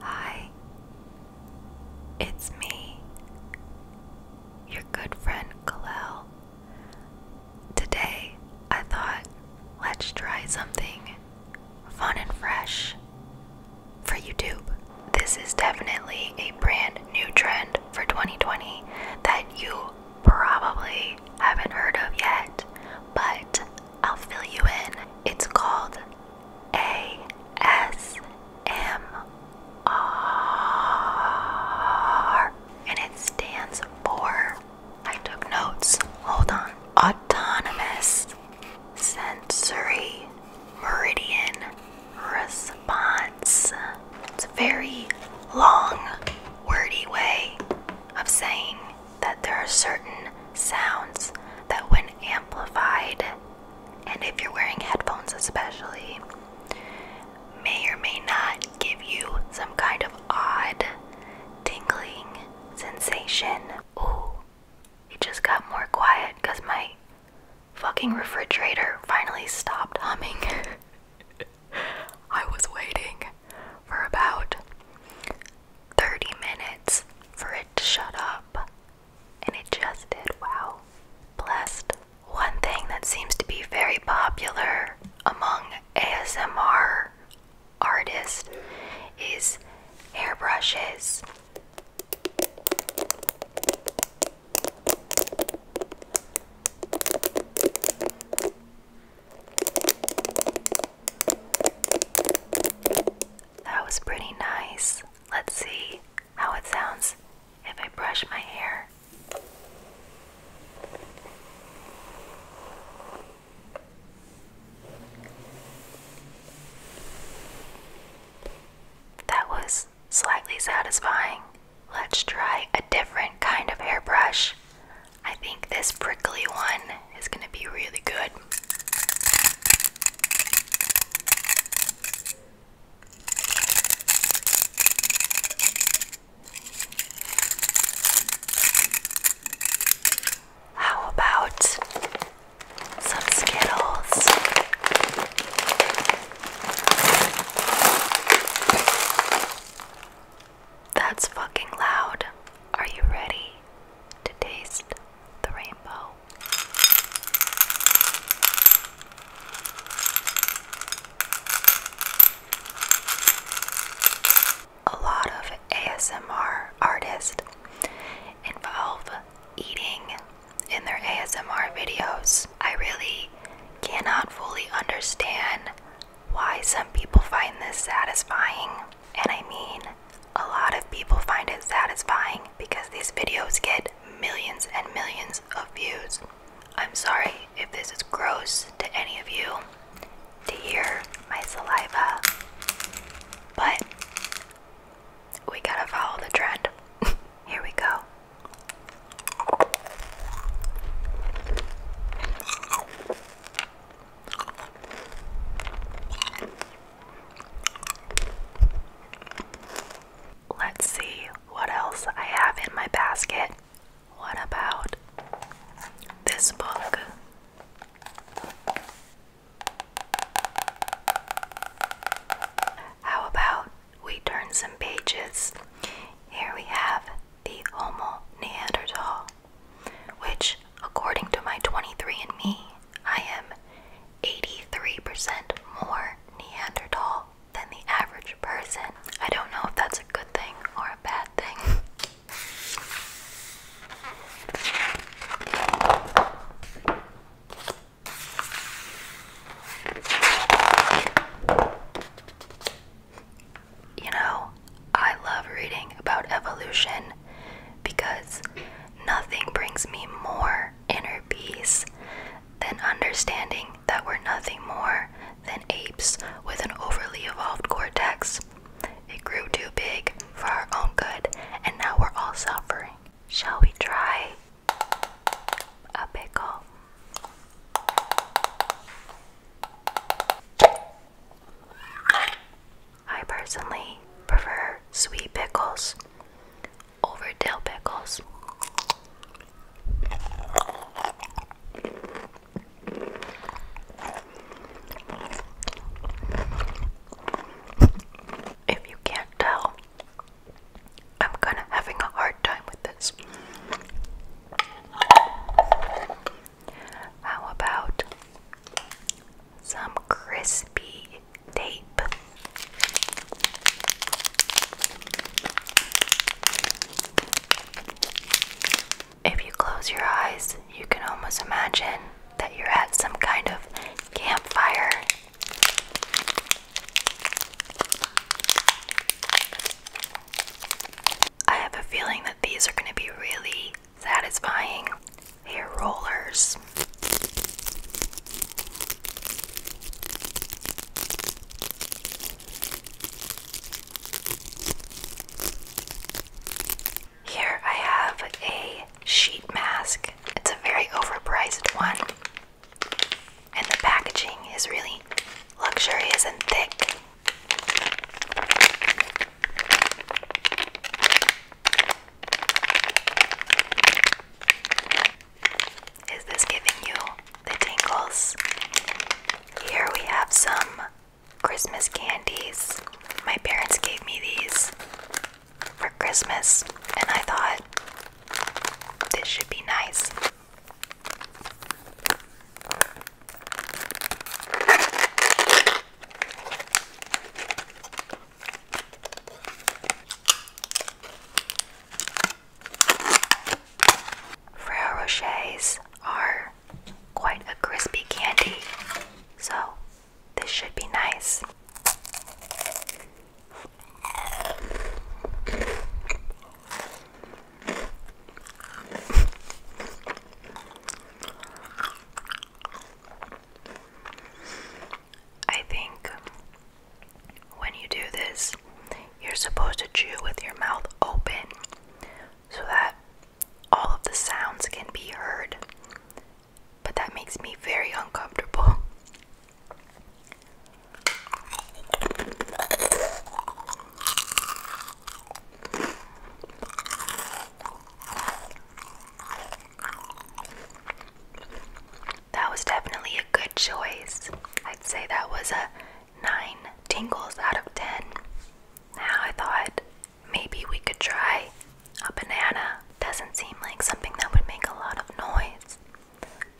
Hi, it's me, your good friend Kalel. Today I thought let's try something fun and fresh for YouTube. This is definitely a brand new trend for 2020 that you probably haven't heard of yet, but I'll fill you in. It's called ASMR and it stands for. I took notes. Hold on. Autonomous sensory meridian response. It's a very long, wordy way of saying that there are certain sounds that, when amplified, and if you're wearing headphones especially, may or may not give you some kind of odd tingling sensation. Ooh, it just got more quiet because my fucking refrigerator finally stopped humming. I was waiting for about 30 minutes for it to shut up, and it just did. Wow. Blessed. One thing that seems to be very popular among ASMR artists is hairbrushes. That was pretty nice. Let's see how it sounds if I brush my hair. That was slightly satisfying. Let's try a different kind of hairbrush. I think this prickly one is going to be really good. How about some Skittles? That's fucking loud. Are you ready to taste the rainbow. A lot of ASMR artists involve eating in their ASMR videos. I really cannot fully understand why some people find this satisfying. And I mean, a lot of people find it satisfying because these videos get millions and millions of views. I'm sorry if this is gross to any of you to hear my saliva, but we gotta follow the trend. Here we go. Let's see what else I have in my basket. What about this book? How about we turn some pages? Here we have the Homo Neanderthal, which, according to my 23andMe, I am 83% more Neanderthal than the average person. I don't know if that's a good thing or a bad thing. You know, I love reading about evolution because nothing brings me more inner peace than understanding that we're nothing more than apes with an overly evolved cortex. It grew too big for our own good, and now we're all suffering. Shall we try a pickle? I personally prefer sweet pickles over dill pickles. If you can't tell, I'm kind of having a hard time with this. How about some crispy tape. If you close your eyes, you can almost imagine that you're at some kind of campfire. I have a feeling that these are going to be really satisfying hair rollers. Here I have a sheet mask. It's a very overpriced one, and the packaging is really luxurious and thick. Is this giving you the tingles? Here we have some Christmas candies. My parents gave me these for Christmas, and I thought this should be nice. Ferrero Rochers are quite a crispy candy, so this should be nice. I think when you do this, you're supposed to chew with your mouth open so that all of the sounds can be heard. But that makes me very uncomfortable. That was definitely a good choice. I'd say that was a 9 tingles out of 10. Now I thought maybe we could try a banana. Doesn't seem like something that would make a lot of noise.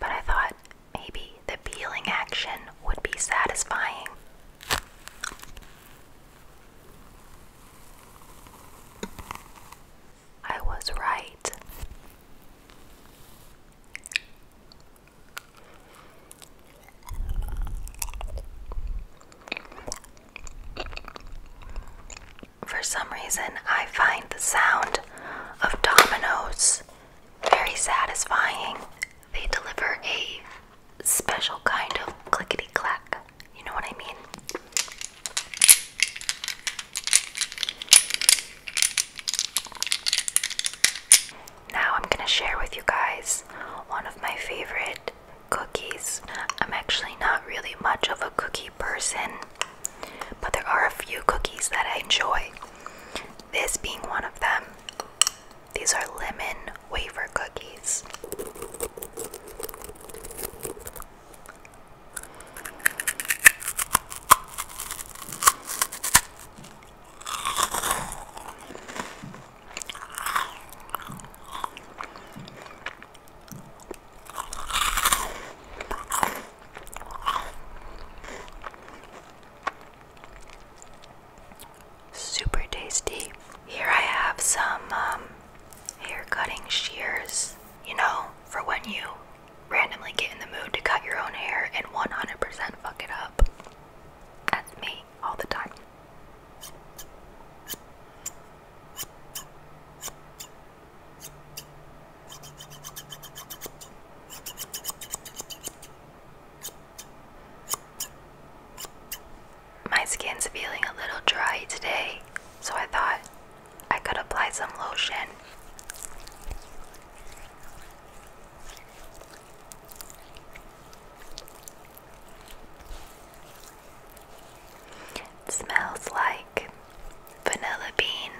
But I thought maybe the peeling action would be satisfying. I was right. For some reason, I find the sound of dominoes very satisfying. They deliver a special kind of clickety clack you know what I mean? Now I'm gonna share with you guys one of my favorite cookies. I'm actually not really much of a cookie person, but there are a few cookies that I enjoy. This being one of them. These are lemon wafer cookies. Super tasty. Here I have some um, hair cutting shears you know, for when you randomly get in the mood to cut your own hair and 100% fuck it up. That's me all the time. My skin's feeling a little dry today, so I thought I could apply some lotion. smells like vanilla bean.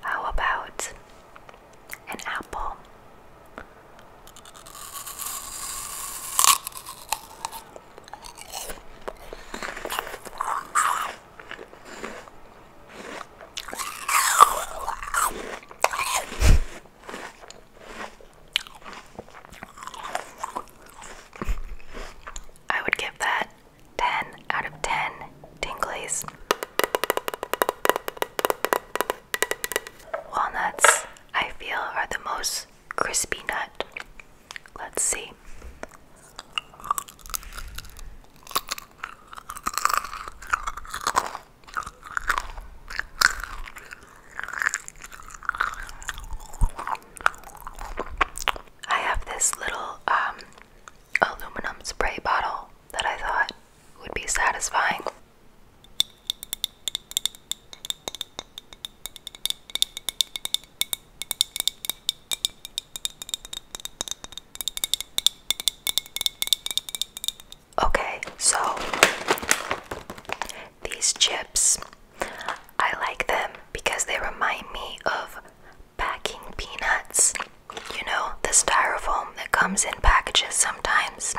How about an apple? I would give that 10 out of 10 tinglies. Walnuts, I feel, are the most crispy nut. Let's see. I have this little um, aluminum spray bottle that I thought would be satisfying. Okay, so these chips, I like them because they remind me of packing peanuts. You know, the styrofoam that comes in packages sometimes.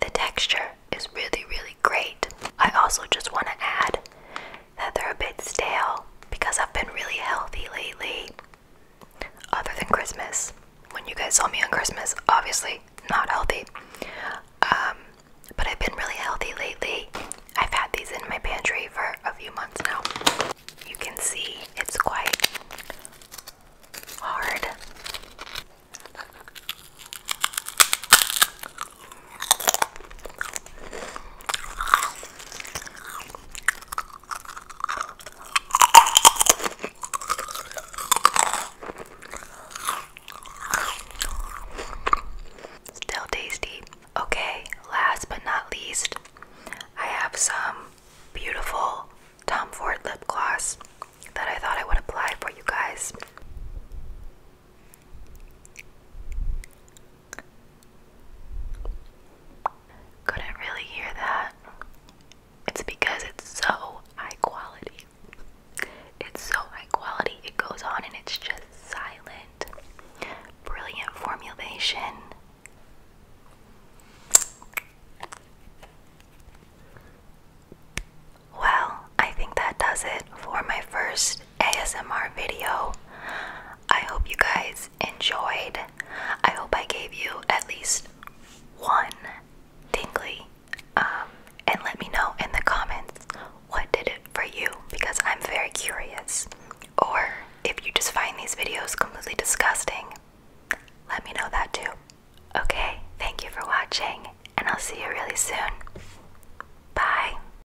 The texture is really, really great. I also just want to add that they're a bit stale because I've been really healthy lately. Other than Christmas, when you guys saw me on Christmas, obviously not healthy. Um, but I've been really healthy lately. I've had these in my pantry for a few months now. You can see it's quite hard. Still tasty. Okay, last but not least, I have some beautiful Tom Ford lip gloss that I thought I would apply for you guys. Couldn't really hear that. It's because it's so high quality. It's so high quality. It goes on and it's just silent. Brilliant formulation. Well, I think that does it for my first ASMR video. I hope you guys enjoyed. I hope I gave you at least one tingly. Um, and let me know in the comments what did it for you because I'm very curious. Or if you just find these videos completely disgusting, let me know that too. Okay, thank you for watching, and I'll see you really soon. Bye.